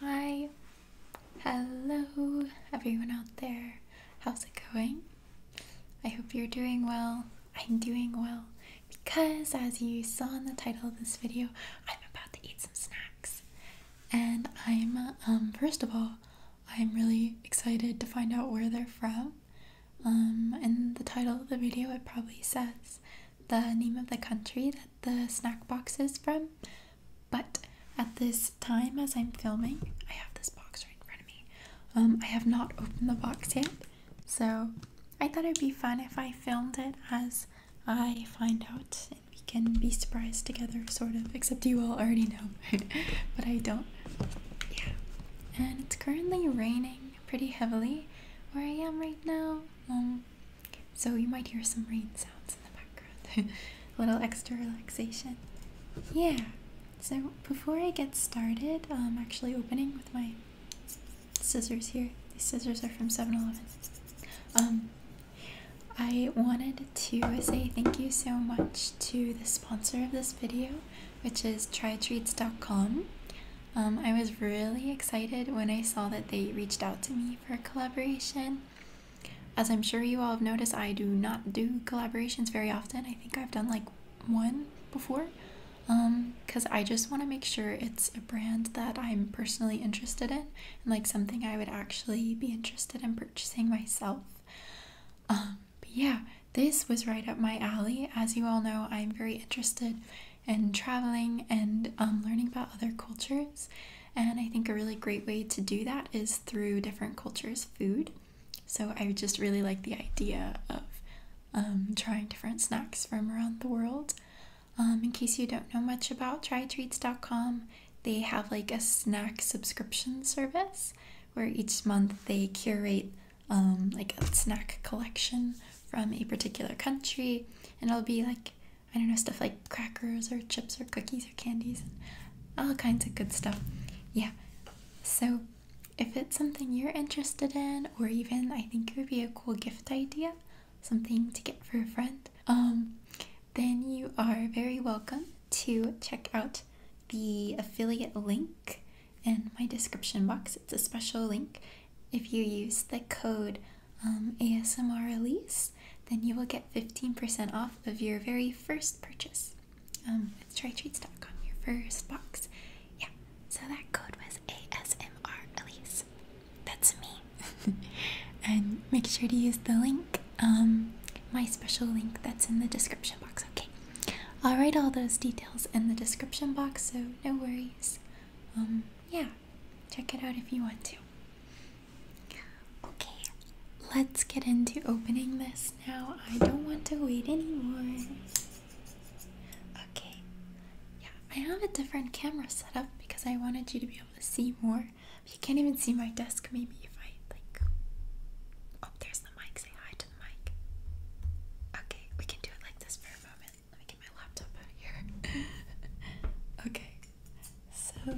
Hi, hello everyone out there. How's it going? I hope you're doing well. I'm doing well because, as you saw in the title of this video, I'm about to eat some snacks. And I'm, um, first of all, I'm really excited to find out where they're from. Um, in the title of the video, it probably says the name of the country that the snack boxes from, but at this time, as I'm filming, I have this box right in front of me. Um, I have not opened the box yet, so I thought it'd be fun if I filmed it as I find out and we can be surprised together, sort of. Except you all already know, but I don't. Yeah. And it's currently raining pretty heavily where I am right now. Um, so you might hear some rain sounds in the background. A little extra relaxation. Yeah. So before I get started, I'm actually opening with my scissors here. These scissors are from 7-Eleven. Um, I wanted to say thank you so much to the sponsor of this video, which is TryTreats.com. Um, I was really excited when I saw that they reached out to me for a collaboration. As I'm sure you all have noticed, I do not do collaborations very often. I think I've done like one before because um, I just want to make sure it's a brand that I'm personally interested in and like something I would actually be interested in purchasing myself. Um, but yeah, this was right up my alley. As you all know, I'm very interested and traveling and um, learning about other cultures. And I think a really great way to do that is through different cultures' food. So I just really like the idea of um, trying different snacks from around the world. Um, in case you don't know much about trytreats.com, they have like a snack subscription service where each month they curate like a snack collection from a particular country and it'll be like I don't know, stuff like crackers or chips or cookies or candies all kinds of good stuff. Yeah. So if it's something you're interested in or even I think it would be a cool gift idea, something to get for a friend, um, then you are very welcome to check out the affiliate link in my description box. It's a special link. If you use the code um, ASMR release, then you will get 15% off of your very first purchase. Um, it's trytreats.com, your first box. Yeah, so that code was ASMR Elise. That's me. and make sure to use the link, um, my special link that's in the description box, okay? I'll write all those details in the description box, so no worries. Um, yeah, check it out if you want to. Okay, let's get into opening this now. I don't want to wait anymore. Okay, yeah, I have a different camera setup because I wanted you to be able to see more. But you can't even see my desk, maybe if I like. Oh, there's the mic. Say hi to the mic. Okay, we can do it like this for a moment. Let me get my laptop out of here. okay, so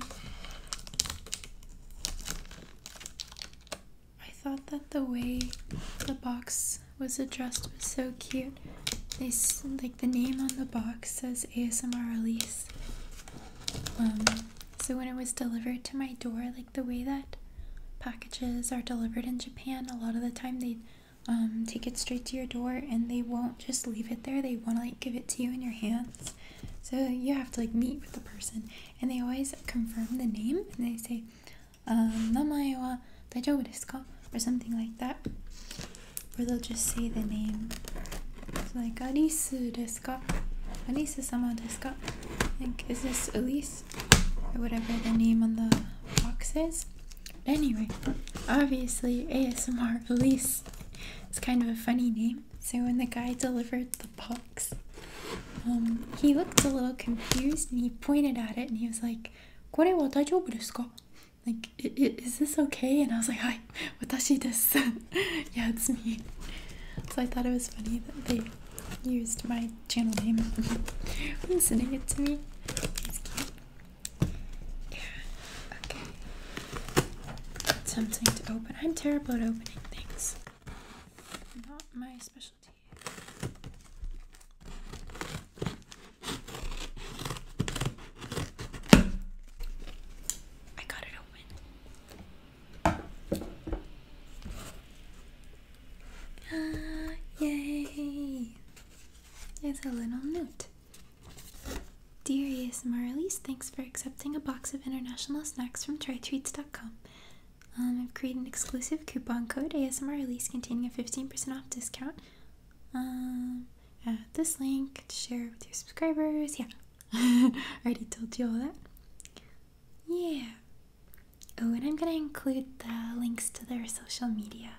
I thought that the way the box was addressed was so cute. They like the name on the box says ASMR release. Um, so when it was delivered to my door, like the way that packages are delivered in Japan, a lot of the time they um, take it straight to your door and they won't just leave it there. They want to like give it to you in your hands. So you have to like meet with the person. And they always confirm the name and they say, um, namae wa daijoubu desu ka? Or something like that. Or they'll just say the name. like, Arisu desu ka? Alice sama desu ka? think is this Elise? Or whatever the name on the box is. anyway, obviously ASMR Elise it's kind of a funny name. So when the guy delivered the box, um, he looked a little confused and he pointed at it and he was like, "Kore wa daijoubu desu ka?" Like, is this okay? And I was like, "Hi, watashi desu." yeah, it's me. So I thought it was funny that they used my channel name when sending it to me. Yeah, okay. something to open. I'm terrible at opening things. Not my specialty. I got it open. Ah, yay! There's a little note. Dearest Marlies, thanks for accepting a box of international snacks from trytreats.com. Um, I've created an exclusive coupon code ASMR release containing a 15% off discount. Um, this link to share with your subscribers. Yeah, I already told you all that. Yeah. Oh, and I'm gonna include the links to their social media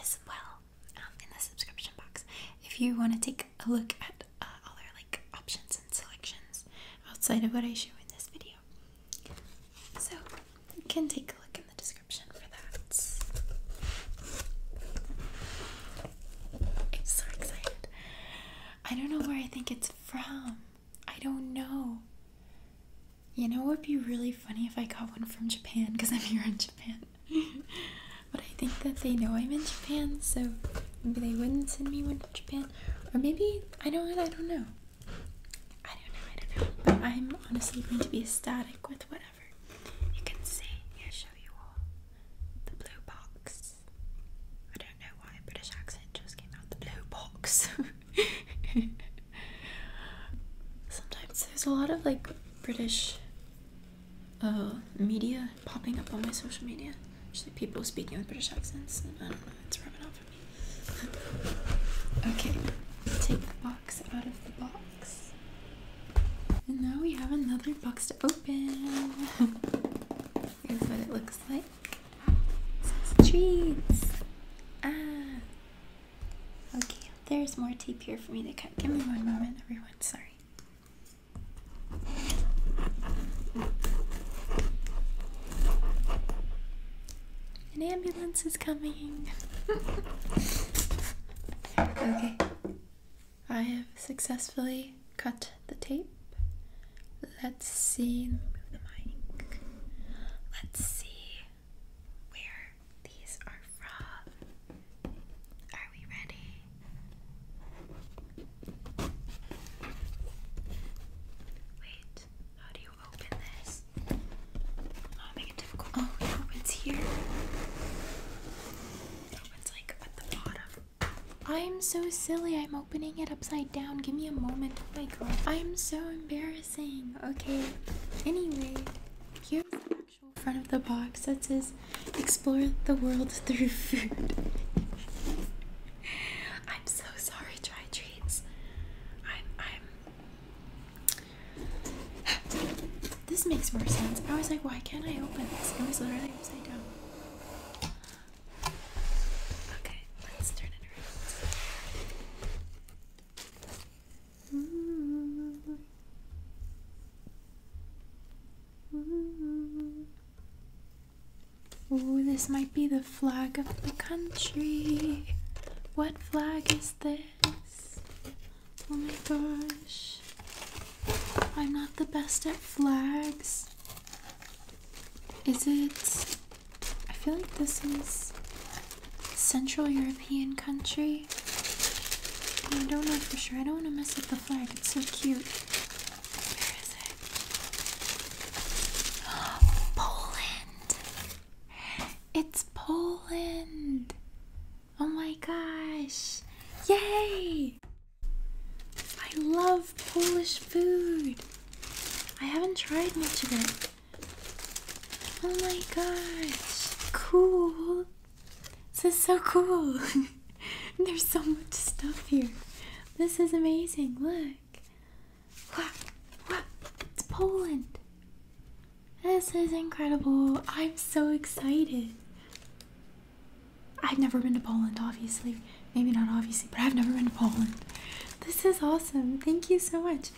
as well. Um, in the subscription box. If you want to take a look at uh, other like options and selections outside of what I show in this video, so you can take a look in the description for that. I'm so excited. I don't know where I think it's from. I don't know. You know, it would be really funny if I got one from Japan because I'm here in Japan. but I think that they know I'm in Japan, so maybe they wouldn't send me one to Japan. Or maybe I don't I don't know. I don't know, I don't know. But I'm honestly going to be ecstatic with whatever. You can see, here show you all. The blue box. I don't know why British accent just came out the blue box. Sometimes there's a lot of like British uh, media popping up on my social media. Just people speaking with British accents. I don't know, it's rubbing off on me. okay, take the box out of the box. And now we have another box to open. Here's what it looks like. It says treats. Ah. Okay, there's more tape here for me to cut. Give me one moment, everyone. Sorry. An ambulance is coming. okay. I have successfully cut the tape. Let's see. Let's see where these are from. Are we ready? Wait, how do you open this? Oh, make it difficult. Oh, it opens here. It like at the bottom. I'm so silly. I'm opening it upside down. Give me a moment. Oh my god. I'm so embarrassing. Okay. Anyway, here's the actual front of the box that says Explore the world through food. I'm so sorry, Try Treats. I'm. I'm. this makes more sense. I was like, why can't I open this? It was literally upside down. Okay, let's turn it around. Hmm. Ooh. this might be the flag of the country. What flag is this? Oh my gosh. I'm not the best at flags. Is it. I feel like this is Central European country. I don't know for sure. I don't want to mess up the flag. It's so cute. Poland. It's Poland. Oh my gosh. Yay! I love Polish food. I haven't tried much of it. Oh my gosh. Cool. This is so cool. There's so much stuff here. This is amazing. Look. It's Poland. This is incredible. I'm so excited. I've never been to Poland, obviously. Maybe not obviously, but I've never been to Poland. This is awesome. Thank you so much.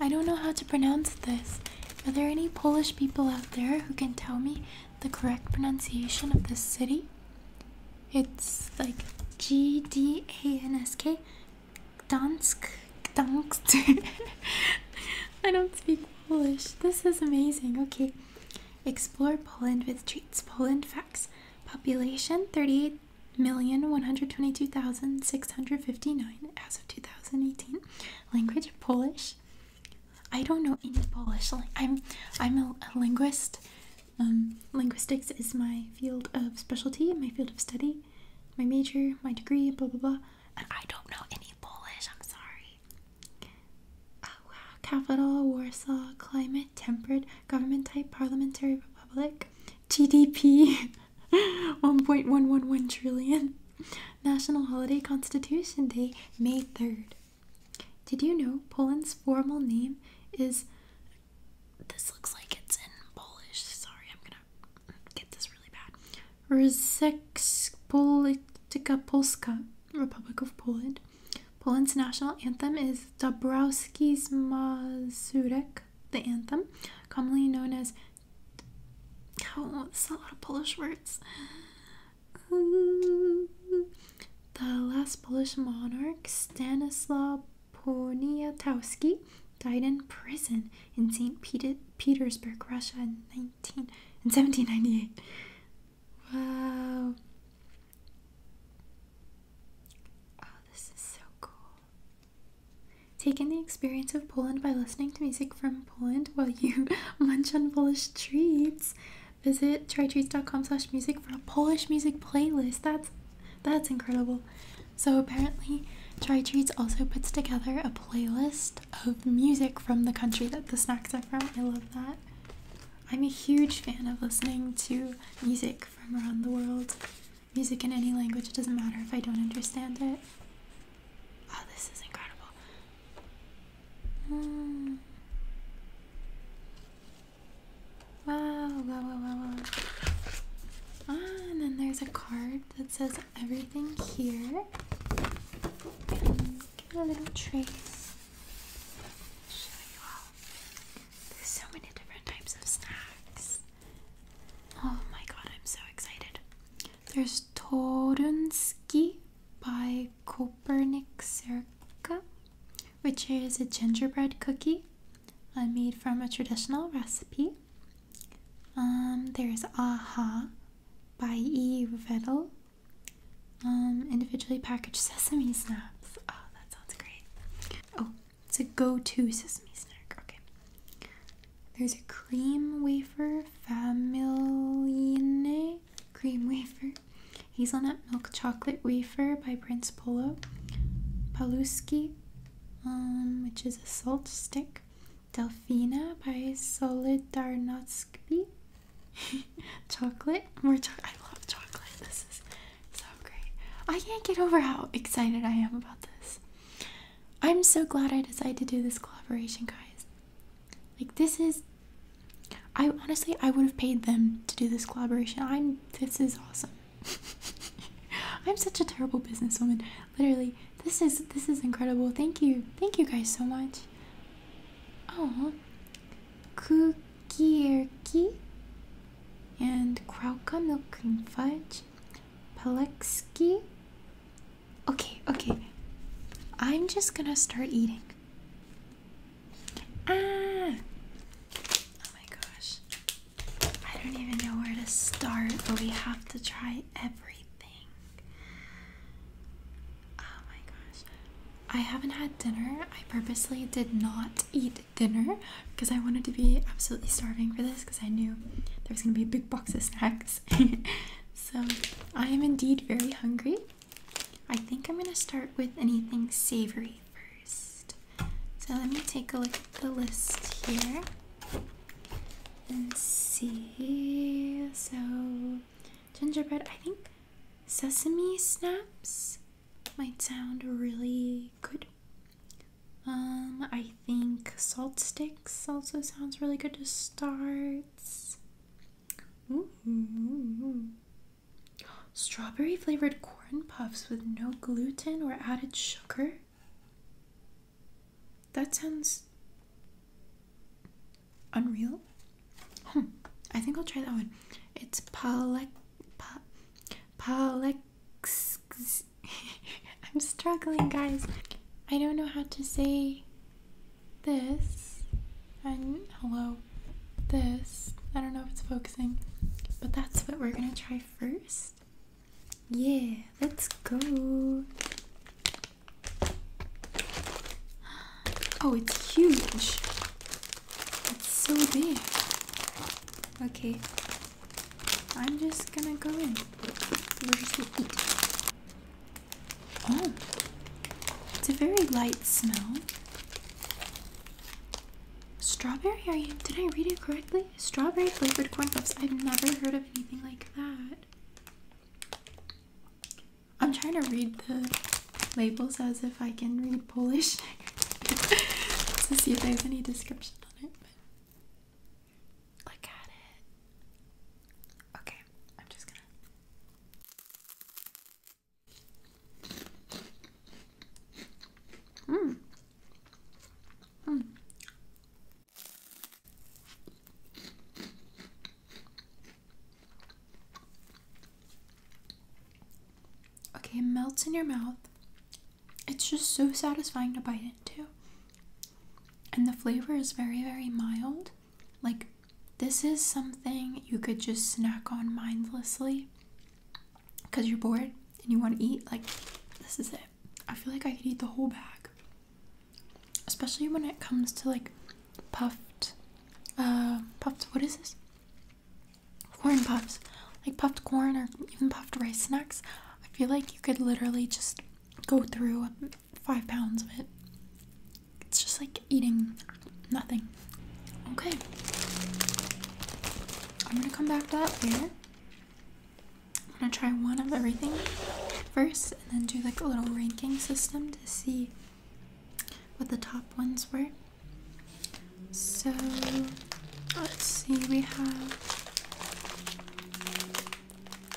I don't know how to pronounce this. Are there any Polish people out there who can tell me? the correct pronunciation of this city. It's like G D A N S K, Gdansk, Gdansk. I don't speak Polish. This is amazing. Okay. Explore Poland with treats. Poland facts. Population 38,122,659 as of 2018. Language Polish. I don't know any Polish. I'm, I'm a, linguist. Um, linguistics is my field of specialty, my field of study, my major, my degree, blah blah blah. And I don't know any Polish. I'm sorry. Uh, capital: Warsaw. Climate: temperate. Government type: parliamentary republic. GDP: 1.111 trillion. National holiday: Constitution Day, May 3rd. Did you know Poland's formal name is. This looks like it's in Polish. Sorry, I'm gonna get this really bad. Rzeczpospolita Polska, Republic of Poland. Poland's national anthem is Dabrowski's Mazurek, the anthem, commonly known as. Oh, that's a lot of Polish words the last Polish monarch, Stanislaw Poniatowski, died in prison in St. Peter Petersburg, Russia in 19 in 1798. Wow. Oh, this is so cool. Take in the experience of Poland by listening to music from Poland while you munch on Polish treats. Visit trytreats.com slash music for a Polish music playlist. That's that's incredible. So apparently Try also puts together a playlist of music from the country that the snacks are from. I love that. I'm a huge fan of listening to music from around the world. Music in any language, it doesn't matter if I don't understand it. Oh, this is incredible. Mm. Wow, wow, wow, wow, wow. Ah, and then there's a card that says everything here. And get a little trace. Show you all. There's so many different types of snacks. Oh my god, I'm so excited. There's Torunski by Kopernik Serka which is a gingerbread cookie uh, made from a traditional recipe. Um, there's Aha by E. Vettel. Um, individually packaged sesame snaps. Oh, that sounds great. Oh, it's a go to sesame snack. Okay. There's a cream wafer, Familine cream wafer, Hazelnut Milk Chocolate Wafer by Prince Polo, Paluski, um, which is a salt stick, Delfina by Solidarnosky, chocolate, more chocolate. I love chocolate. This is so great. I can't get over how excited I am about this. I'm so glad I decided to do this collaboration, guys. Like, this is I honestly I would have paid them to do this collaboration. I'm this is awesome. I'm such a terrible businesswoman. Literally, this is this is incredible. Thank you. Thank you guys so much. Oh. Kukierki and Krauka milk cream fudge. Palexki. Okay, okay. I'm just gonna start eating. Ah! Oh my gosh. I don't even know where to start, but we have to try everything. Oh my gosh. I haven't had dinner. I purposely did not eat dinner because I wanted to be absolutely starving for this because I knew there was going to be a big box of snacks. so I am indeed very hungry. I think I'm going to start with anything savory first. So let me take a look at the list here and see. So, gingerbread, I think sesame snaps might sound really good. Um, I think salt sticks also sounds really good to start. Strawberry flavored corn puffs with no gluten or added sugar? That sounds unreal. Hmm, I think I'll try that one. It's palek pa, palex. I'm struggling, guys. I don't know how to say this hello this i don't know if it's focusing but that's what we're gonna try first yeah let's go oh it's huge it's so big okay i'm just gonna go in where's the heat oh it's a very light smell Strawberry? Are you? Did I read it correctly? Strawberry flavored corn puffs. I've never heard of anything like that. I'm trying to read the labels as if I can read Polish to see if there's any description on it. look at it. Okay, I'm just gonna. Mm. Mm. Okay, it melts in your mouth. It's just so satisfying to bite into. And the flavor is very, very mild. Like, this is something you could just snack on mindlessly because you're bored and you want to eat, like this is it. I feel like I could eat the whole bag, especially when it comes to like puffed, uh, puffed. What is this? Corn puffs, like puffed corn or even puffed rice snacks. I feel like you could literally just go through five pounds of it. It's just like eating Nothing. Okay. I'm gonna come back to that later. I'm gonna try one of everything first and then do like a little ranking system to see what the top ones were. So let's see, we have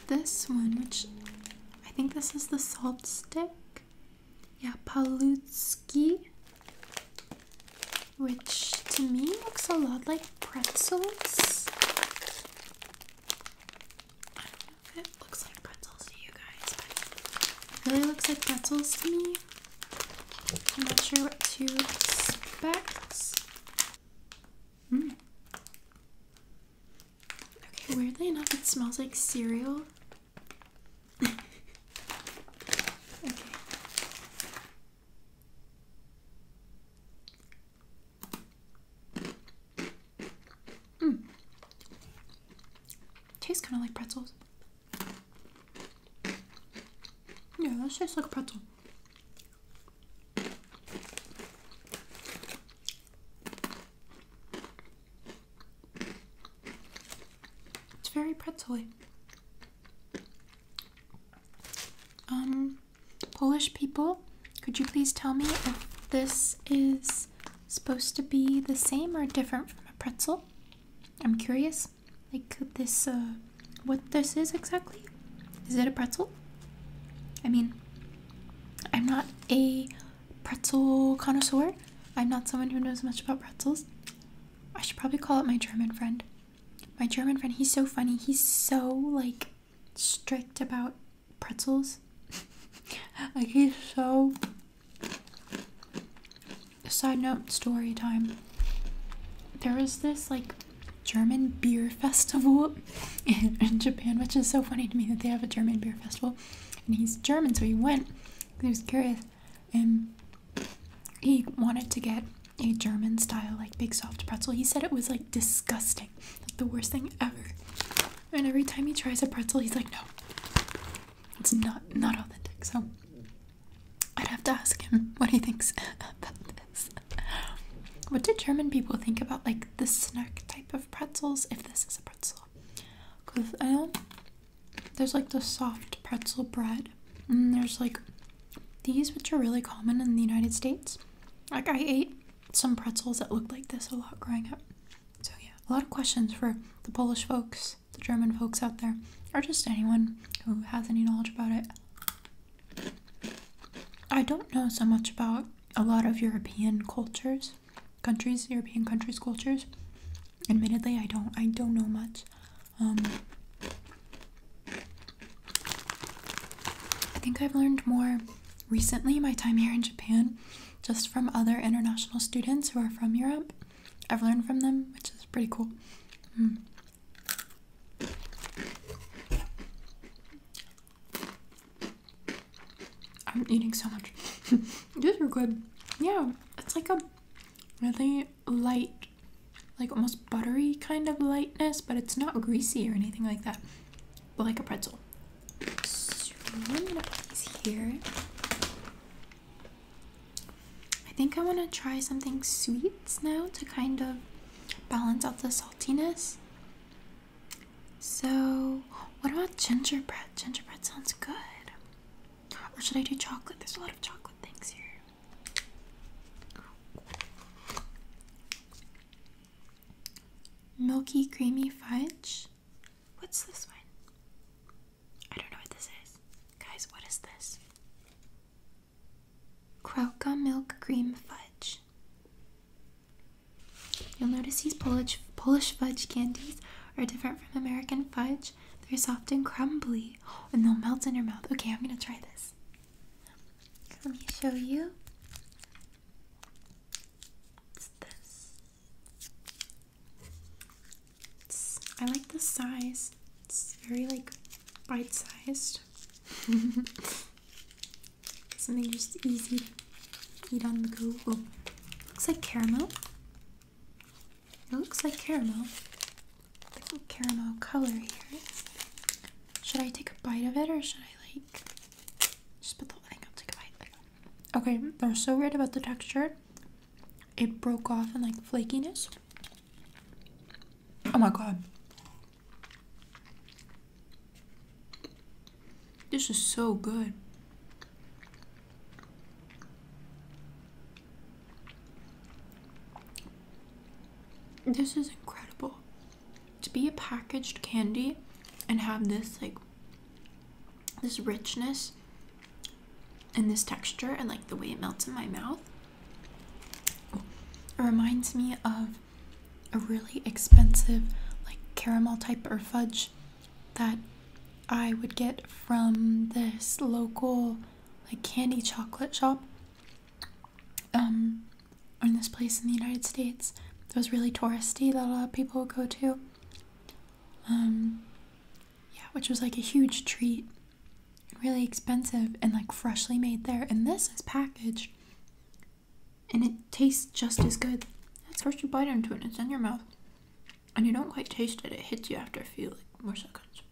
this one, which I think this is the salt stick yeah, Palutsky, which to me looks a lot like pretzels. I don't know if it looks like pretzels to you guys, but really looks like pretzels to me. I'm not sure what to expect. Mm. Okay, weirdly enough, it smells like cereal okay. Hmm. Tastes kind of like pretzels. Yeah, that tastes like pretzel. It's very pretzely. Um, Polish people, could you please tell me if this is supposed to be the same or different from a pretzel? I'm curious. Like this, uh, what this is exactly? Is it a pretzel? I mean, I'm not a pretzel connoisseur. I'm not someone who knows much about pretzels. I should probably call it my German friend. My German friend, he's so funny. He's so like strict about pretzels. like he's so side note story time. There was this like German beer festival in, Japan, which is so funny to me that they have a German beer festival. And he's German, so he went. He was curious and he wanted to get a German style like big soft pretzel. He said it was like disgusting, like the worst thing ever. And every time he tries a pretzel, he's like, no, it's not not authentic. So I'd have to ask him what he thinks about this. What do German people think about like the snack type of pretzels? If this is a pretzel, because I don't there's like the soft pretzel bread, and there's like these, which are really common in the United States. Like, I ate some pretzels that looked like this a lot growing up. So, yeah, a lot of questions for the Polish folks, the German folks out there, or just anyone who has any knowledge about it. I don't know so much about a lot of European cultures, countries, European countries' cultures admittedly i don't i don't know much um i think i've learned more recently my time here in japan just from other international students who are from europe i've learned from them which is pretty cool mm. i'm eating so much these are good yeah it's like a really light, like almost buttery kind of lightness, but it's not greasy or anything like that, but like a pretzel. i here. I think I want to try something sweets now to kind of balance out the saltiness. So, what about gingerbread? Gingerbread sounds good. Or should I do chocolate? There's a lot of chocolate things here. Milky creamy fudge. What's this one? I don't know what this is. Guys, what is this? Krakow milk cream fudge. You'll notice these Polish Polish fudge candies are different from American fudge they're soft and crumbly, and they'll melt in your mouth. Okay, I'm gonna try this. Let me show you. What's this? I like the size. It's very like bite-sized. Something just easy to eat on the go. looks like caramel. It looks like caramel. caramel color here. Should I take a bite of it or should I like just put the thing up, take a bite? Okay, they're so weird about the texture. It broke off in like flakiness. Oh my god. This is so good. This is incredible. To be a packaged candy and have this like this richness and this texture and like the way it melts in my mouth. reminds me of a really expensive like caramel type or fudge that I would get from this local like candy chocolate shop um, in this place in the United States that was really touristy that a lot of people would go to. Um, yeah, which was like a huge treat, really expensive and like freshly made there. And this is packaged, and it tastes just as good. That's first you bite into it, and it's in your mouth, and you don't quite taste it. It hits you after a few like more seconds.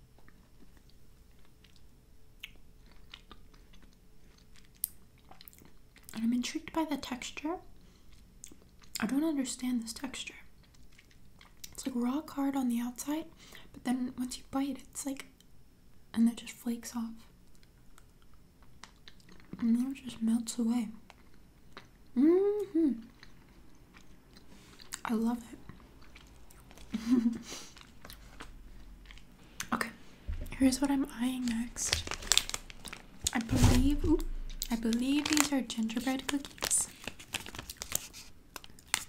And I'm intrigued by the texture. I don't understand this texture. It's like raw, hard on the outside, but then once you bite, it's like, and it just flakes off. And then it just melts away. Mm hmm I love it. okay, here's what I'm eyeing next. I believe, I believe these are gingerbread cookies.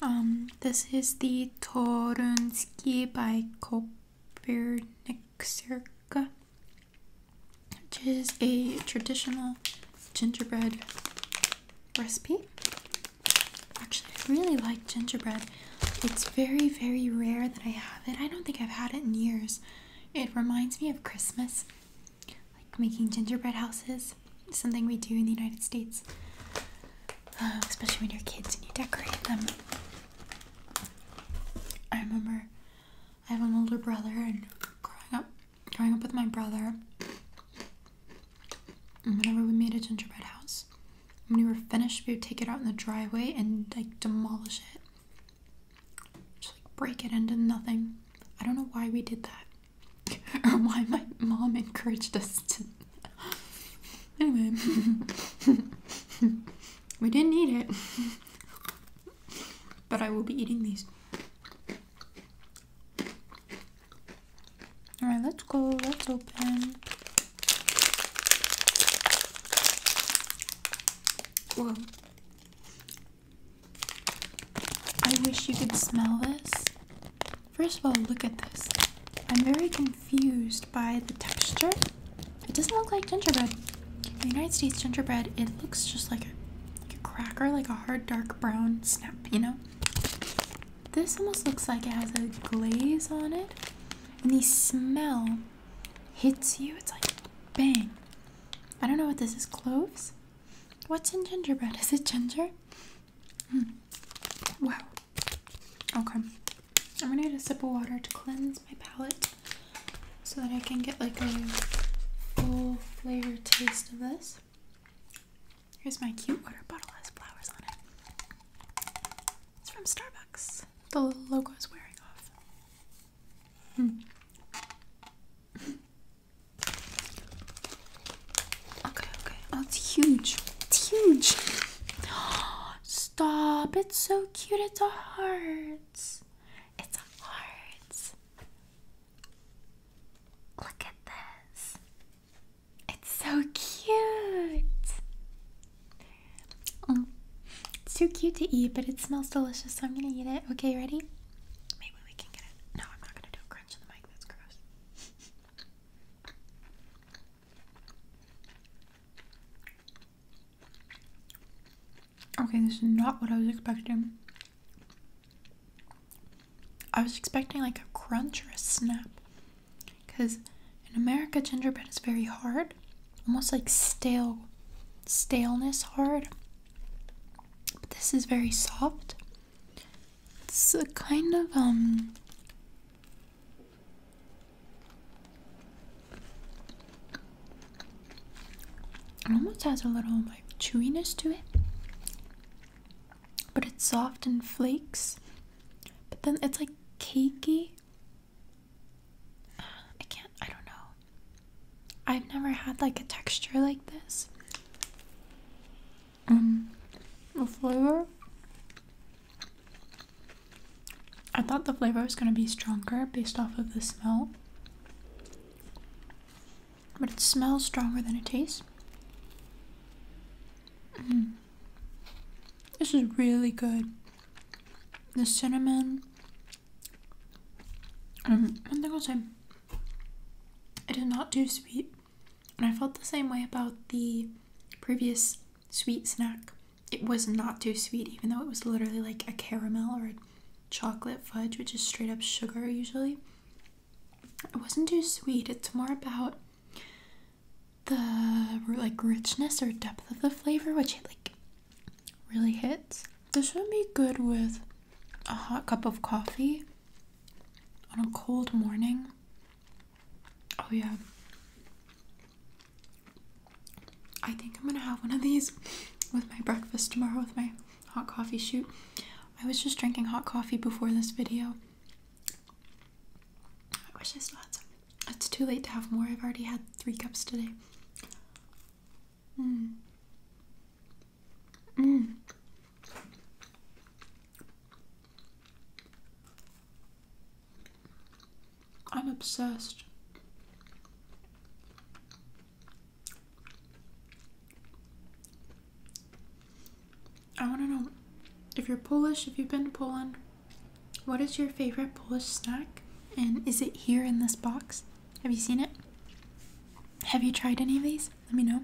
Um, this is the Torunski by Kopernik which is a traditional gingerbread recipe. Actually, I really like gingerbread. It's very, very rare that I have it. I don't think I've had it in years. It reminds me of Christmas, like making gingerbread houses, something we do in the United States, um, especially when you're kids and you decorate them. I remember I have an older brother, and growing up, growing up with my brother, whenever we made a gingerbread house, when we were finished, we would take it out in the driveway and like demolish it. Just like break it into nothing. I don't know why we did that. or why my mom encouraged us to. anyway. we didn't eat it. but I will be eating these. All right, let's go. Let's open. Whoa. I wish you could smell this. First of all, look at this. I'm very confused by the texture. It doesn't look like gingerbread. the United States gingerbread, it looks just like a cracker, like a hard dark brown snap, you know? This almost looks like it has a glaze on it, and the smell hits you. It's like bang. I don't know what this is. Cloves? What's in gingerbread? Is it ginger? Mm. Wow. Okay. I'm gonna get a sip of water to cleanse my palate so that I can get like a full flavor taste of this. Here's my cute water bottle has flowers on it. It's from Starbucks. The logo is wearing off. Hmm. Okay, okay. Oh, it's huge. It's huge. Stop. It's so cute. It's a It's a Look at this. It's so cute. Oh, too cute to eat, but it smells delicious, so I'm gonna eat it. Okay, ready? Maybe we can get it. No, I'm not gonna do a crunch in the mic. That's gross. Okay, this is not what I was expecting. I was expecting like a crunch or a snap. Because in America, gingerbread is very hard, almost like stale, staleness hard. But this is very soft. It's a kind of, um, it almost has a little like chewiness to it but it's soft and flakes. But then it's like cakey. I can't, I don't know. I've never had like a texture like this. Um, the flavor. I thought the flavor was going to be stronger based off of the smell. But it smells stronger than it tastes. Mm. This is really good. The cinnamon. Um, one thing I'll say, it is not too sweet. And I felt the same way about the previous sweet snack. It was not too sweet, even though it was literally like a caramel or a chocolate fudge, which is straight up sugar usually. It wasn't too sweet. It's more about the like richness or depth of the flavor, which it like really hits. This would be good with a hot cup of coffee on a cold morning. Oh yeah. I think I'm gonna have one of these with my breakfast tomorrow with my hot coffee shoot. I was just drinking hot coffee before this video I wish I still had some. It's too late to have more. I've already had three cups today. Mm. Mm. I'm obsessed. I want to know if you're Polish, if you've been to Poland, what is your favorite Polish snack? And is it here in this box? Have you seen it? Have you tried any of these? Let me know.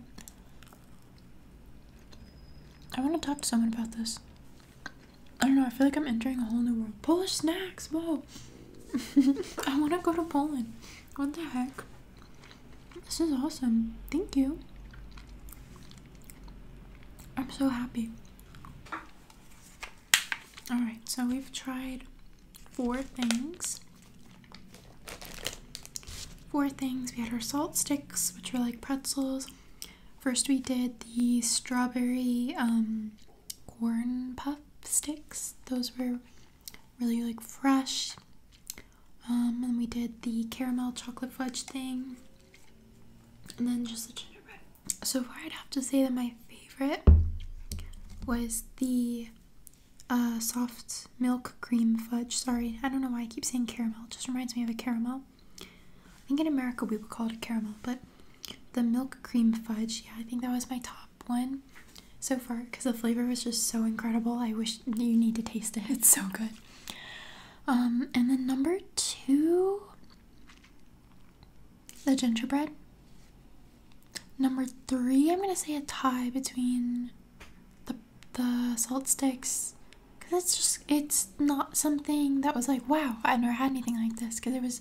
I want to talk to someone about this. I don't know, I feel like I'm entering a whole new world. Polish snacks, whoa! I want to go to Poland. What the heck? This is awesome. Thank you. I'm so happy. Alright, so we've tried four things. Four things. We had our salt sticks, which were like pretzels. First, we did the strawberry um, corn puff sticks. Those were really like fresh. Um, and we did the caramel chocolate fudge thing and then just the gingerbread. So far, I'd have to say that my favorite was the uh, soft milk cream fudge. Sorry, I don't know why I keep saying caramel. just reminds me of a caramel. I think in America we would call it a caramel, but the milk cream fudge, yeah, I think that was my top one so far because the flavor was just so incredible. I wish you need to taste it. It's so good. Um, and then number two, the gingerbread. Number three, I'm gonna say a tie between the the salt sticks, cause it's just it's not something that was like wow I never had anything like this because it was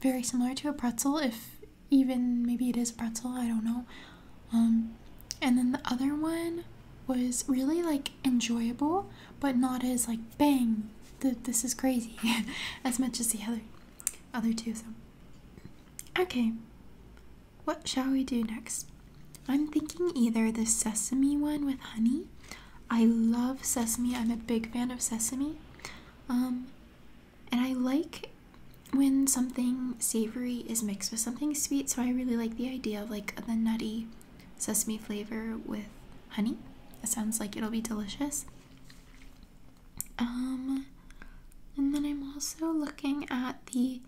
very similar to a pretzel if even maybe it is pretzel I don't know, um, and then the other one was really like enjoyable, but not as like bang, th this is crazy, as much as the other other two. So, okay, what shall we do next? I'm thinking either the sesame one with honey. I love sesame. I'm a big fan of sesame. Um, and I like when something savory is mixed with something sweet, so I really like the idea of like the nutty sesame flavor with honey. It sounds like it'll be delicious. Um, and then I'm also looking at the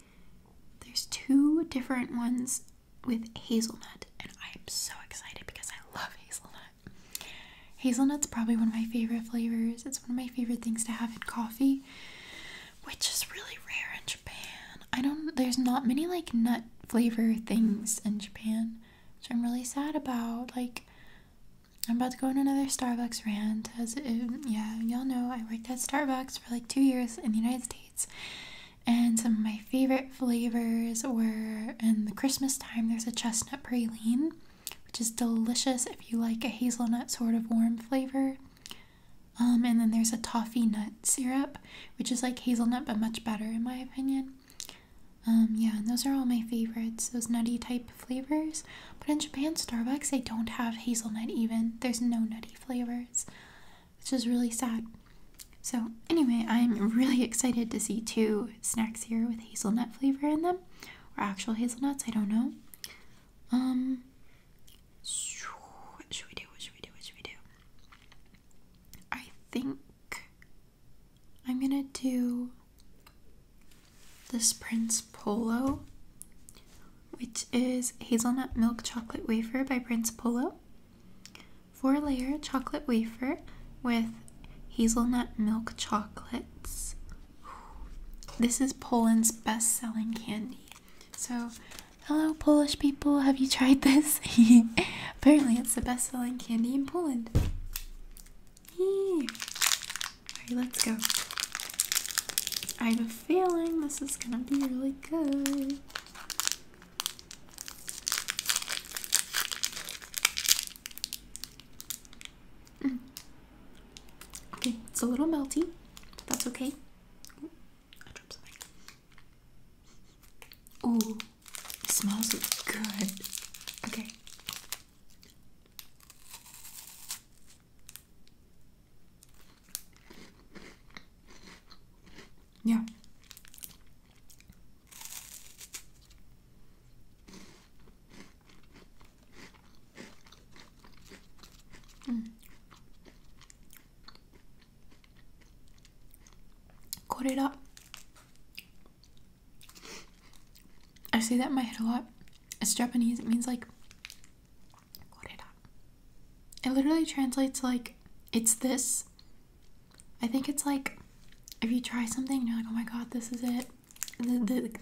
there's two different ones with hazelnut, and I'm so excited because I love hazelnut. Hazelnut's probably one of my favorite flavors. It's one of my favorite things to have in coffee, which is really rare in Japan. I don't there's not many like nut flavor things in Japan again, which I'm really sad about. Like, I'm about to go on another Starbucks rant. As yeah, y'all know, I worked at Starbucks for like two years in the United States, and some of my favorite flavors were in the Christmas time. There's a chestnut praline, which is delicious if you like a hazelnut sort of warm flavor. Um, and then there's a toffee nut syrup, which is like hazelnut but much better in my opinion. Um, yeah, and those are all my favorites, those nutty type flavors. But in Japan, Starbucks, they don't have hazelnut even. There's no nutty flavors, which is really sad. So, anyway, I'm really excited to see two snacks here with hazelnut flavor in them, or actual hazelnuts, I don't know. Um, what should we do? What should we do? What should we do? I think I'm gonna do this Prince Polo, which is hazelnut milk chocolate wafer by Prince Polo. Four layer chocolate wafer with hazelnut milk chocolates. This is Poland's best selling candy. So, hello, Polish people, have you tried this? Apparently, it's the best selling candy in Poland. Alright, let's go. I have a feeling this is gonna be really good. Mm. Okay, it's a little melty, that's okay. Ooh, it smells good. Okay. Yeah. Mm. Cut I say that in my head a lot. It's Japanese. It means like it literally translates like it's this. I think it's like if you try something, and you're like, oh my god, this is it.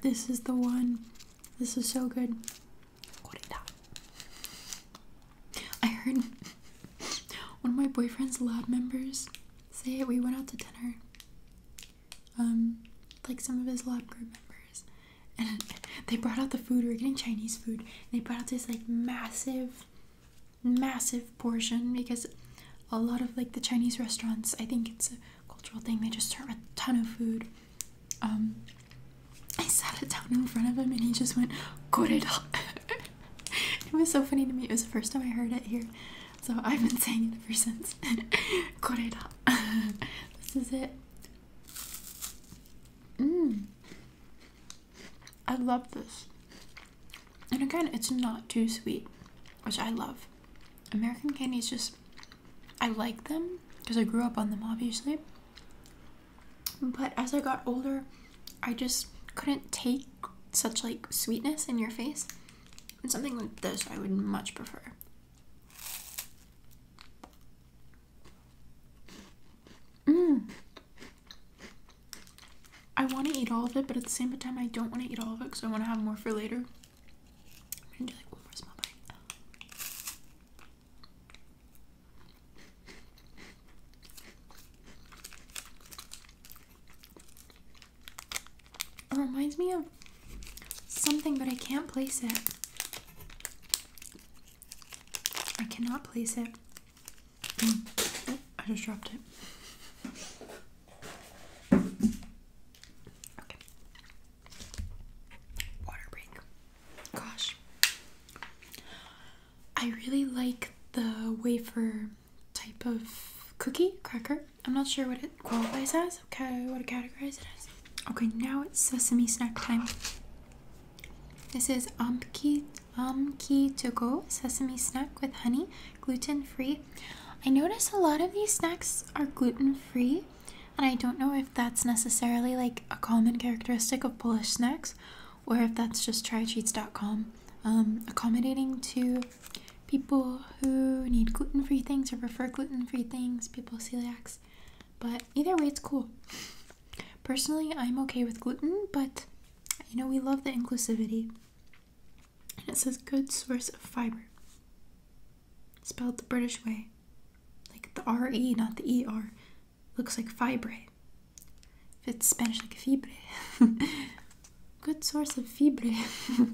this is the one. This is so good. I heard one of my boyfriend's lab members say we went out to dinner. Um, like some of his lab group members, and they brought out the food. We were getting Chinese food. And they brought out this like massive, massive portion because a lot of like the Chinese restaurants, I think it's a cultural thing. They just serve a ton of food. Um, I sat it down in front of him, and he just went, "Goreda," it was so funny to me. It was the first time I heard it here, so I've been saying it ever since. Koreda. this is it. Mmm. I love this. And again, it's not too sweet, which I love. American candies just, I like them because I grew up on them, obviously. But as I got older, I just couldn't take such like sweetness in your face. And something like this I would much prefer. Mm. I want to eat all of it, but at the same time, I don't want to eat all of it because I want to have more for later. i do like one more small bite. It reminds me of something, but I can't place it. I cannot place it. Mm. I just dropped it. Water break. Gosh. I really like the wafer type of cookie, cracker. I'm not sure what it qualifies as, okay, what to categorize it as. Okay, now it's sesame snack time. This is Amki Amki to go sesame snack with honey, gluten free. I notice a lot of these snacks are gluten free, and I don't know if that's necessarily like a common characteristic of Polish snacks or if that's just trycheats.com um, accommodating to people who need gluten free things or prefer gluten free things, people celiacs. But either way, it's cool. Personally, I'm okay with gluten, but you know, we love the inclusivity. And it says good source of fiber. Spelled the British way. Like the R E, not the E R. Looks like fibre. If it's Spanish, like fibre. good source of fibre.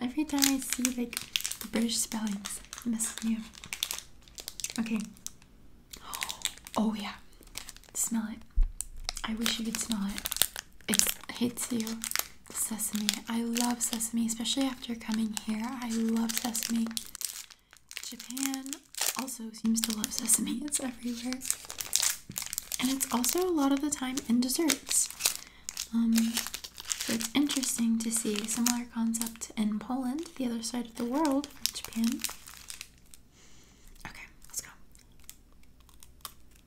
Every time I see like the British spellings, I Okay. Oh yeah. Smell it. I wish you could smell it. it hits you. Sesame. I love sesame, especially after coming here. I love sesame. Japan also seems to love sesame. It's everywhere. And it's also a lot of the time in desserts. Um, so it's interesting to see a similar concept in Poland, the other side of the world, Japan. Okay, let's go.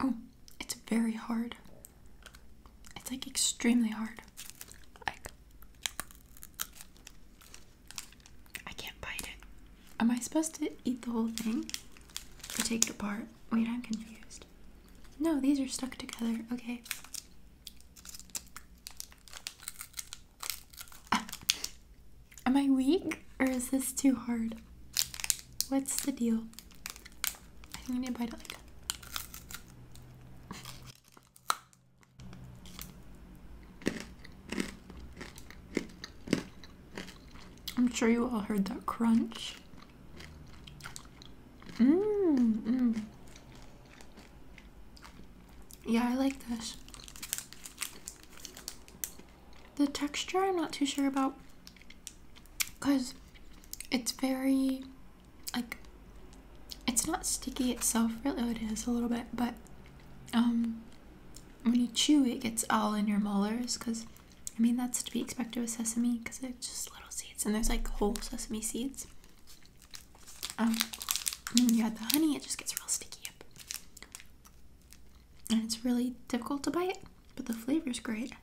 Oh, it's very hard. It's like extremely hard. I can't bite it. Am I supposed to eat the whole thing? To take it apart. Wait, I'm confused. No, these are stuck together. Okay. Am I weak or is this too hard? What's the deal? I think I to bite it I'm sure you all heard that crunch. Mm, mm. Yeah, I like this. The texture, I'm not too sure about because it's very, like, it's not sticky itself, really, oh, it is a little bit, but um, when you chew, it gets all in your molars because I mean, that's to be expected with sesame because it's just little seeds and there's like whole sesame seeds. Um, when you add the honey, it just gets real sticky up. And it's really difficult to bite, but the flavor's great.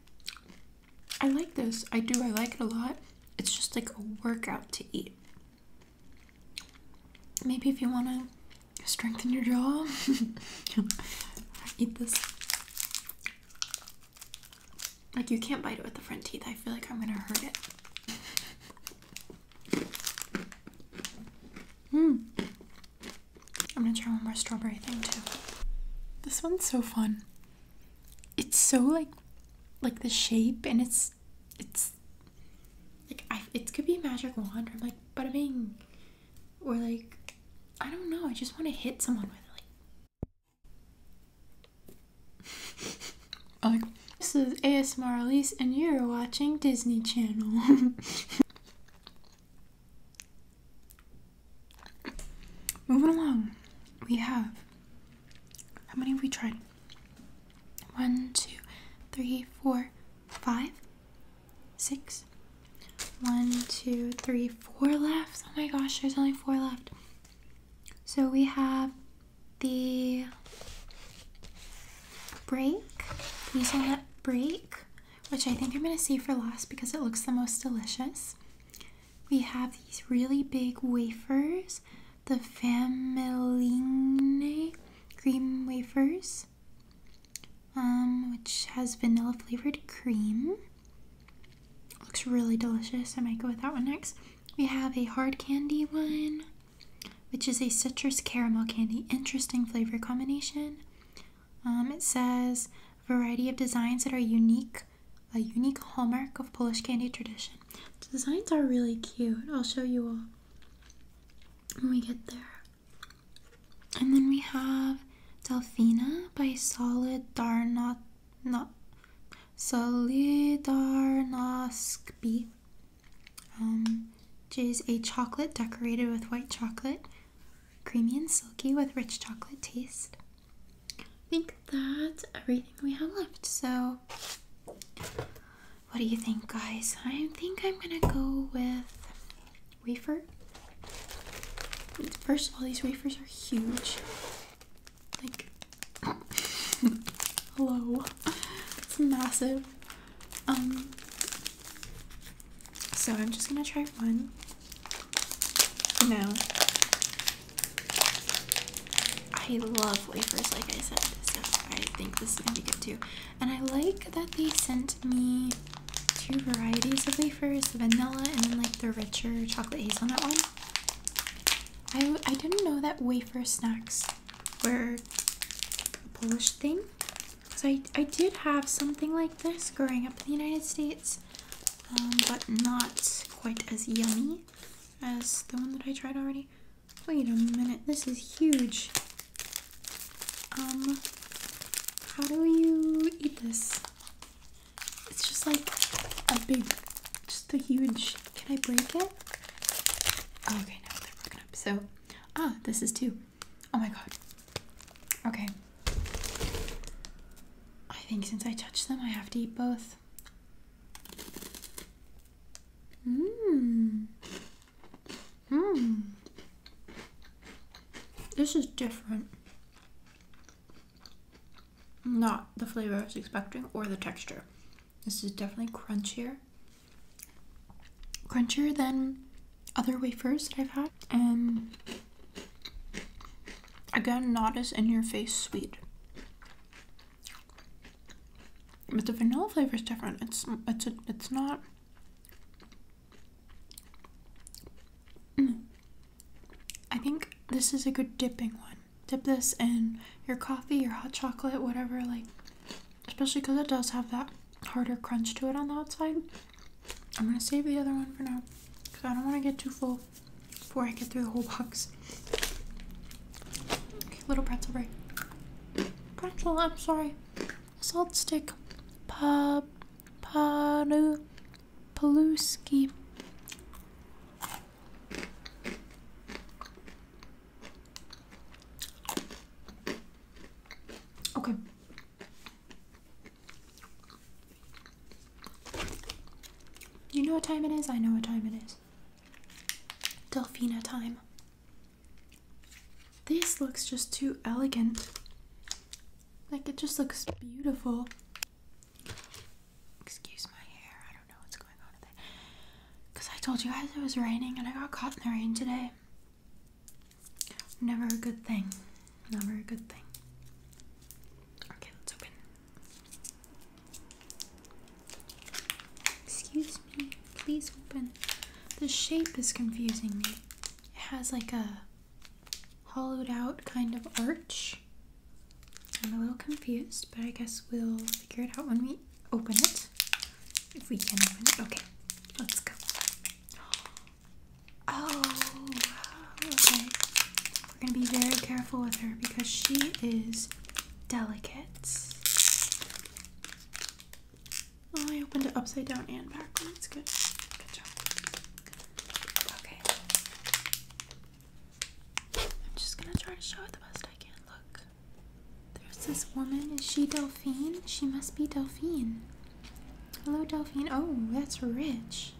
I like this. I do. I like it a lot. It's just like a workout to eat. Maybe if you want to strengthen your jaw, eat this. Like, you can't bite it with the front teeth. I feel like I'm gonna hurt it. Hmm. I'm gonna try one more strawberry thing too. This one's so fun. It's so like, like the shape, and it's, it's, like I, it could be a magic wand. Or I'm like, bada bing, or like I don't know, I just want to hit someone with it. Like, this is ASMR Elise, and you're watching Disney Channel. Moving along, we have how many have we tried? One, two, three, four, five, six, one, two, three, four left. Oh my gosh, there's only four left. So we have the break, hazelnut break, which I think I'm going to save for last because it looks the most delicious. We have these really big wafers, the Familine cream wafers, um, which has vanilla flavored cream. Looks really delicious. I might go with that one next. We have a hard candy one, which is a citrus caramel candy. Interesting flavor combination. Um, it says a variety of designs that are unique, a unique hallmark of Polish candy tradition. The designs are really cute. I'll show you all when we get there. And then we have Delphina by Solidarno not Solidarnosc Um which is a chocolate decorated with white chocolate, creamy and silky with rich chocolate taste. I think that's everything we have left. So what do you think guys? I think I'm gonna go with wafer. First of all, these wafers are huge. Like, hello, it's massive. Um, so I'm just gonna try one now. I love wafers, like I said, so I think this is gonna be good too. And I like that they sent me two varieties of wafers vanilla and then like the richer chocolate hazelnut one. I, I didn't know that wafer snacks were a Polish thing. So I, I did have something like this growing up in the United States, um, but not quite as yummy as the one that I tried already. Wait a minute, this is huge. Um, how do you eat this? It's just like a big, just a huge. Can I break it? Oh, okay, now they're broken up. So, ah, this is two. Oh my god. Okay. I think since I touched them, I have to eat both. Mmm. Mmm. This is different. Not the flavor I was expecting or the texture. This is definitely crunchier. Crunchier than other wafers that I've had. And um, again, not as in your face sweet. But the vanilla flavor is different. It's it's it's not I think this is a good dipping one. Dip this in your coffee, your hot chocolate, whatever, like, especially because it does have that harder crunch to it on the outside. I'm gonna save the other one for now because I don't want to get too full before I get through the whole box. Okay, little pretzel break. Pretzel, I'm sorry. Salt stick. Pa, pa, no. Peluski. Okay. You know what time it is? I know what time it is. Delphina time. This looks just too elegant. Like, it just looks beautiful. Excuse my hair. I don't know what's going on with it. Because I told you guys it was raining and I got caught in the rain today. Never a good thing. Never a good thing. Okay, let's open. Excuse me. Please open. The shape is confusing me. It has like a hollowed out kind of arch. I'm a little confused, but I guess we'll figure it out when we open it. If we can open it. Okay, let's go. Oh, okay. We're gonna be very careful with her because she is delicate. Oh, I opened it upside down and backwards. Good. Good job. Okay. I'm just gonna try to show it the best I can. Look. There's this woman. Is she Delphine? She must be Delphine. Hello, Delphine. Oh, that's rich.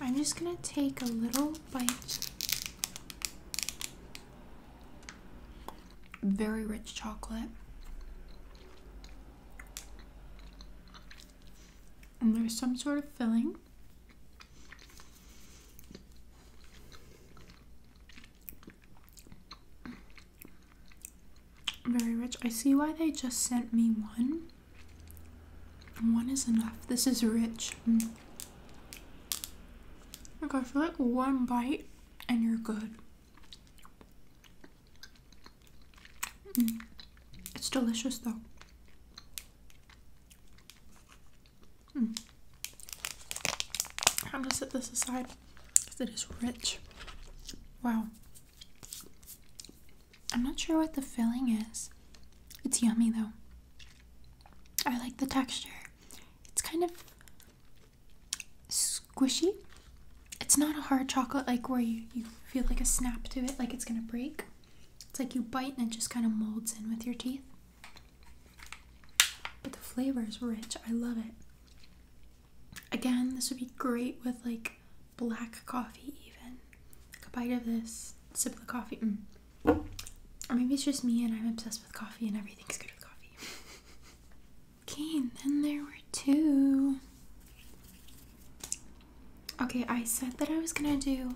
I'm just gonna take a little bite. Very rich chocolate. And there's some sort of filling. Very rich. I see why they just sent me one. One is enough. This is rich. Mm. Okay, I feel like one bite and you're good. Mm. It's delicious though. I'm hmm. gonna set this aside because it is rich. Wow. I'm not sure what the filling is. It's yummy though. I like the texture. It's kind of squishy. It's not a hard chocolate like where you, you feel like a snap to it, like it's gonna break. It's like you bite and it just kind of molds in with your teeth. But the flavor is rich. I love it. Again, this would be great with like black coffee, even. Like a bite of this, sip of the coffee. Mm. Or maybe it's just me and I'm obsessed with coffee and everything's good with coffee. okay, and then there were two. Okay, I said that I was gonna do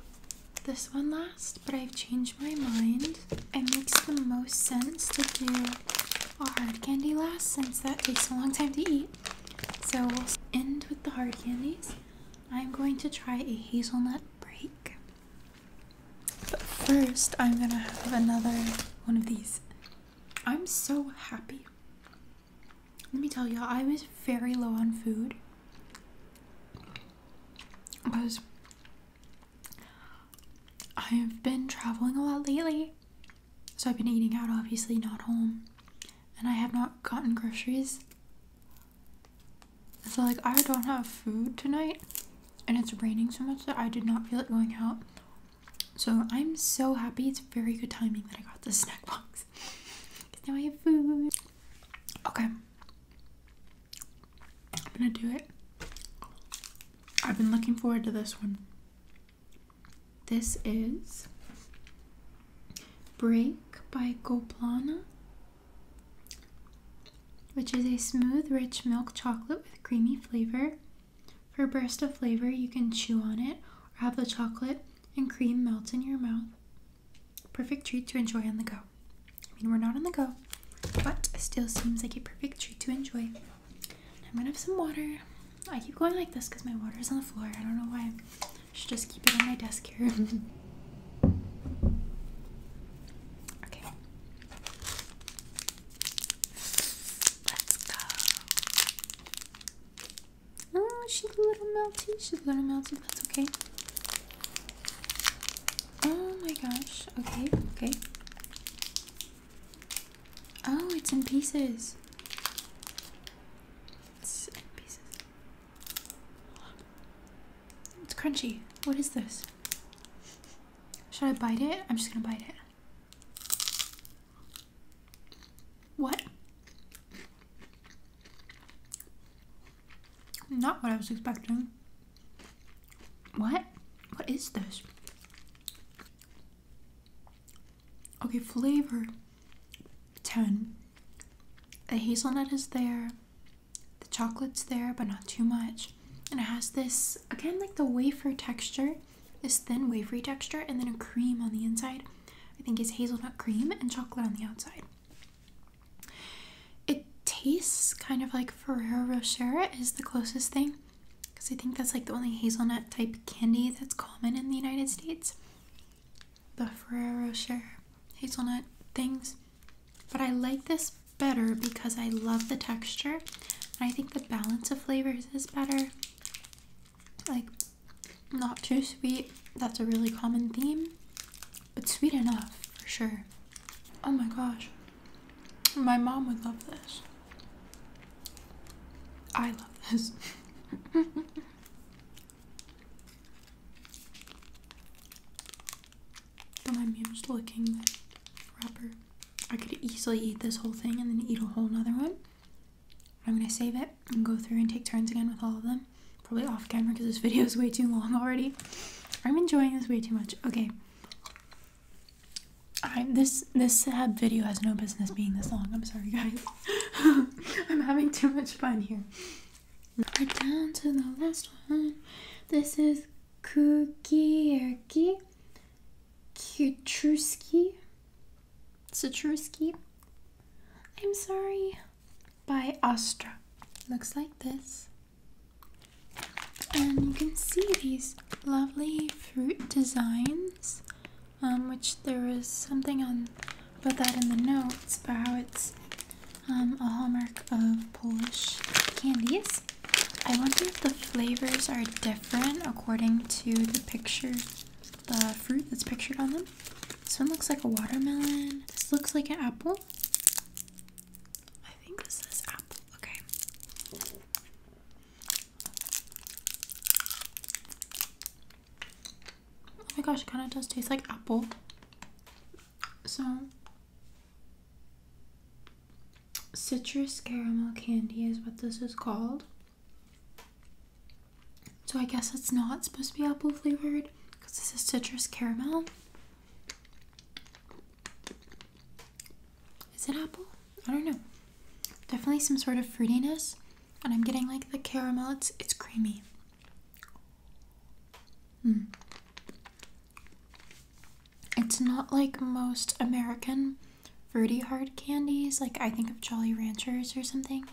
this one last, but I've changed my mind. It makes the most sense to do a hard candy last since that takes a long time to eat. So we'll end with the hard candies. I'm going to try a hazelnut break. But first, I'm gonna have another one of these. I'm so happy. Let me tell y'all, I was very low on food. Because I've been traveling a lot lately. So I've been eating out, obviously, not home. And I have not gotten groceries. So, like, I don't have food tonight. And it's raining so much that I did not feel like going out. So I'm so happy. It's very good timing that I got this snack box now I have food. Okay. I'm gonna do it. I've been looking forward to this one. This is Break by Goblana, which is a smooth, rich milk chocolate with creamy flavor. For a burst of flavor, you can chew on it or have the chocolate and cream melt in your mouth. Perfect treat to enjoy on the go. I mean, we're not on the go, but still seems like a perfect treat to enjoy. I'm gonna have some water. I keep going like this because my water is on the floor. I don't know why. I should just keep it on my desk here. okay. Let's go. Oh, she's a little melty. She's a little melty. That's okay. Oh my gosh. Okay, okay. Oh, it's in pieces. It's in pieces. It's crunchy. What is this? Should I bite it? I'm just gonna bite it. What? Not what I was expecting. What? What is this? Okay, flavor 10. The hazelnut is there, the chocolate's there, but not too much. And it has this, again, like the wafer texture, this thin wafery texture, and then a cream on the inside. I think it's hazelnut cream and chocolate on the outside. It tastes kind of like Ferrero Rocher is the closest thing because I think that's like the only hazelnut type candy that's common in the United States. The Ferrero Rocher hazelnut things. But I like this better because I love the texture and I think the balance of flavors is better. Like, not too sweet, that's a really common theme but sweet enough for sure. Oh my gosh. My mom would love this. I love this. Don't mind me, wrapper. I could easily eat this whole thing and then eat a whole nother one. I'm gonna save it and go through and take turns again with all of them probably off camera because this video is way too long already. I'm enjoying this way too much. Okay. I this this sad video has no business being this long. I'm sorry guys. I'm having too much fun here. We're down to the last one. This is Kukierki Kutruski Citrusky. I'm sorry by Astra. Looks like this. And you can see these lovely fruit designs, um, which there is something on about that in the notes about how it's um, a hallmark of Polish candies. I wonder if the flavors are different according to the picture, the fruit that's pictured on them. This one looks like a watermelon. This looks like an apple. I think this is apple. Okay. Oh my gosh, it kind of does taste like apple. So, citrus caramel candy is what this is called. So, I guess it's not supposed to be apple flavored because this is citrus caramel. Is it apple? I don't know. Definitely some sort of fruitiness, and I'm getting like the caramel. It's it's creamy. Mm. It's not like most American fruity hard candies. Like I think of Jolly Ranchers or something,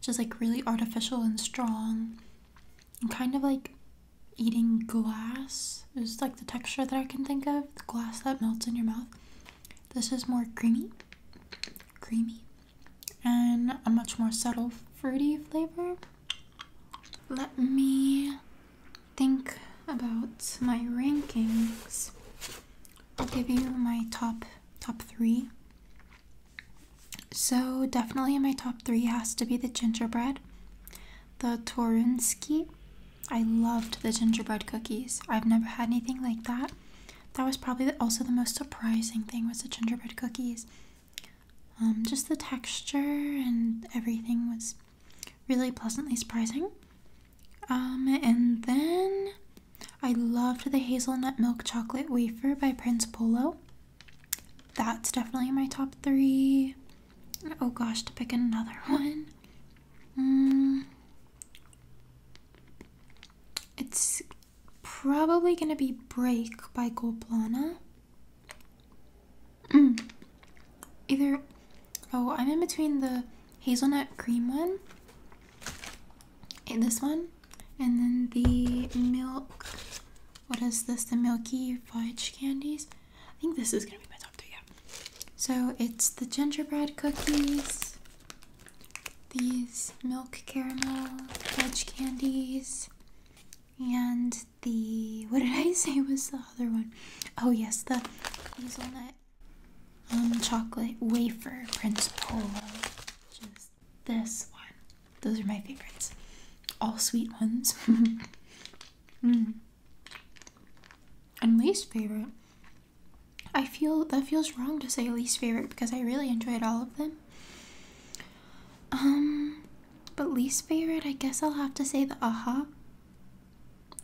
just like really artificial and strong kind of like eating glass is like the texture that I can think of the glass that melts in your mouth. This is more creamy, creamy, and a much more subtle fruity flavor. Let me think about my rankings. I'll give you my top top three so, definitely my top three has to be the gingerbread, the Torunski. I loved the gingerbread cookies. I've never had anything like that. That was probably also the most surprising thing was the gingerbread cookies. Um, just the texture and everything was really pleasantly surprising. Um, and then I loved the hazelnut milk chocolate wafer by Prince Polo that's definitely my top three. Oh gosh, to pick another one. Mm. It's probably gonna be Break by Goblana. Either, oh, I'm in between the hazelnut cream one, and this one, and then the milk what is this? The Milky Fudge Candies? I think this is gonna be my top three, yeah. So it's the gingerbread cookies, these milk caramel fudge candies, and the. What did I say was the other one? Oh, yes, the hazelnut um, chocolate wafer Prince Polo. Just this one. Those are my favorites. All sweet ones. mm. And least favorite. I feel that feels wrong to say least favorite because I really enjoyed all of them. Um, but least favorite, I guess I'll have to say the aha.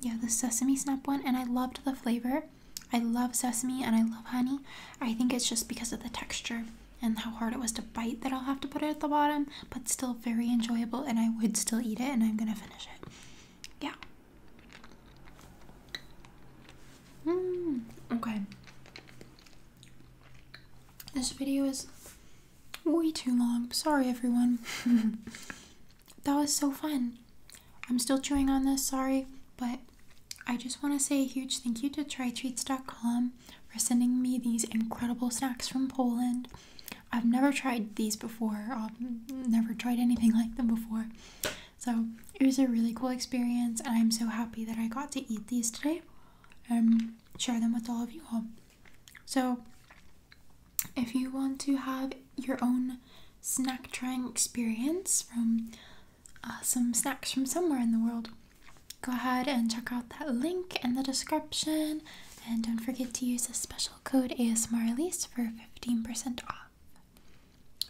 Yeah, the sesame snap one, and I loved the flavor. I love sesame and I love honey. I think it's just because of the texture and how hard it was to bite that I'll have to put it at the bottom, but still very enjoyable, and I would still eat it, and I'm gonna finish it. Yeah. Mm, okay. This video is way too long. Sorry, everyone. that was so fun. I'm still chewing on this, sorry, but I just want to say a huge thank you to trytreats.com for sending me these incredible snacks from Poland. I've never tried these before, um, never tried anything like them before. So it was a really cool experience, and I'm so happy that I got to eat these today and share them with all of you all. So if you want to have your own snack trying experience from uh, some snacks from somewhere in the world, go ahead and check out that link in the description. And don't forget to use the special code ASMRelease for 15% off.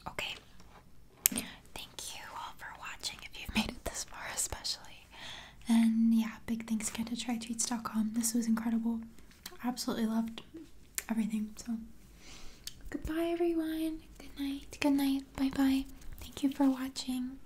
Okay. Thank you all for watching if you've made it this far, especially. And yeah, big thanks again to trytweets.com. This was incredible. Absolutely loved everything. So goodbye, everyone. Good night. Good night. Bye bye. Thank you for watching.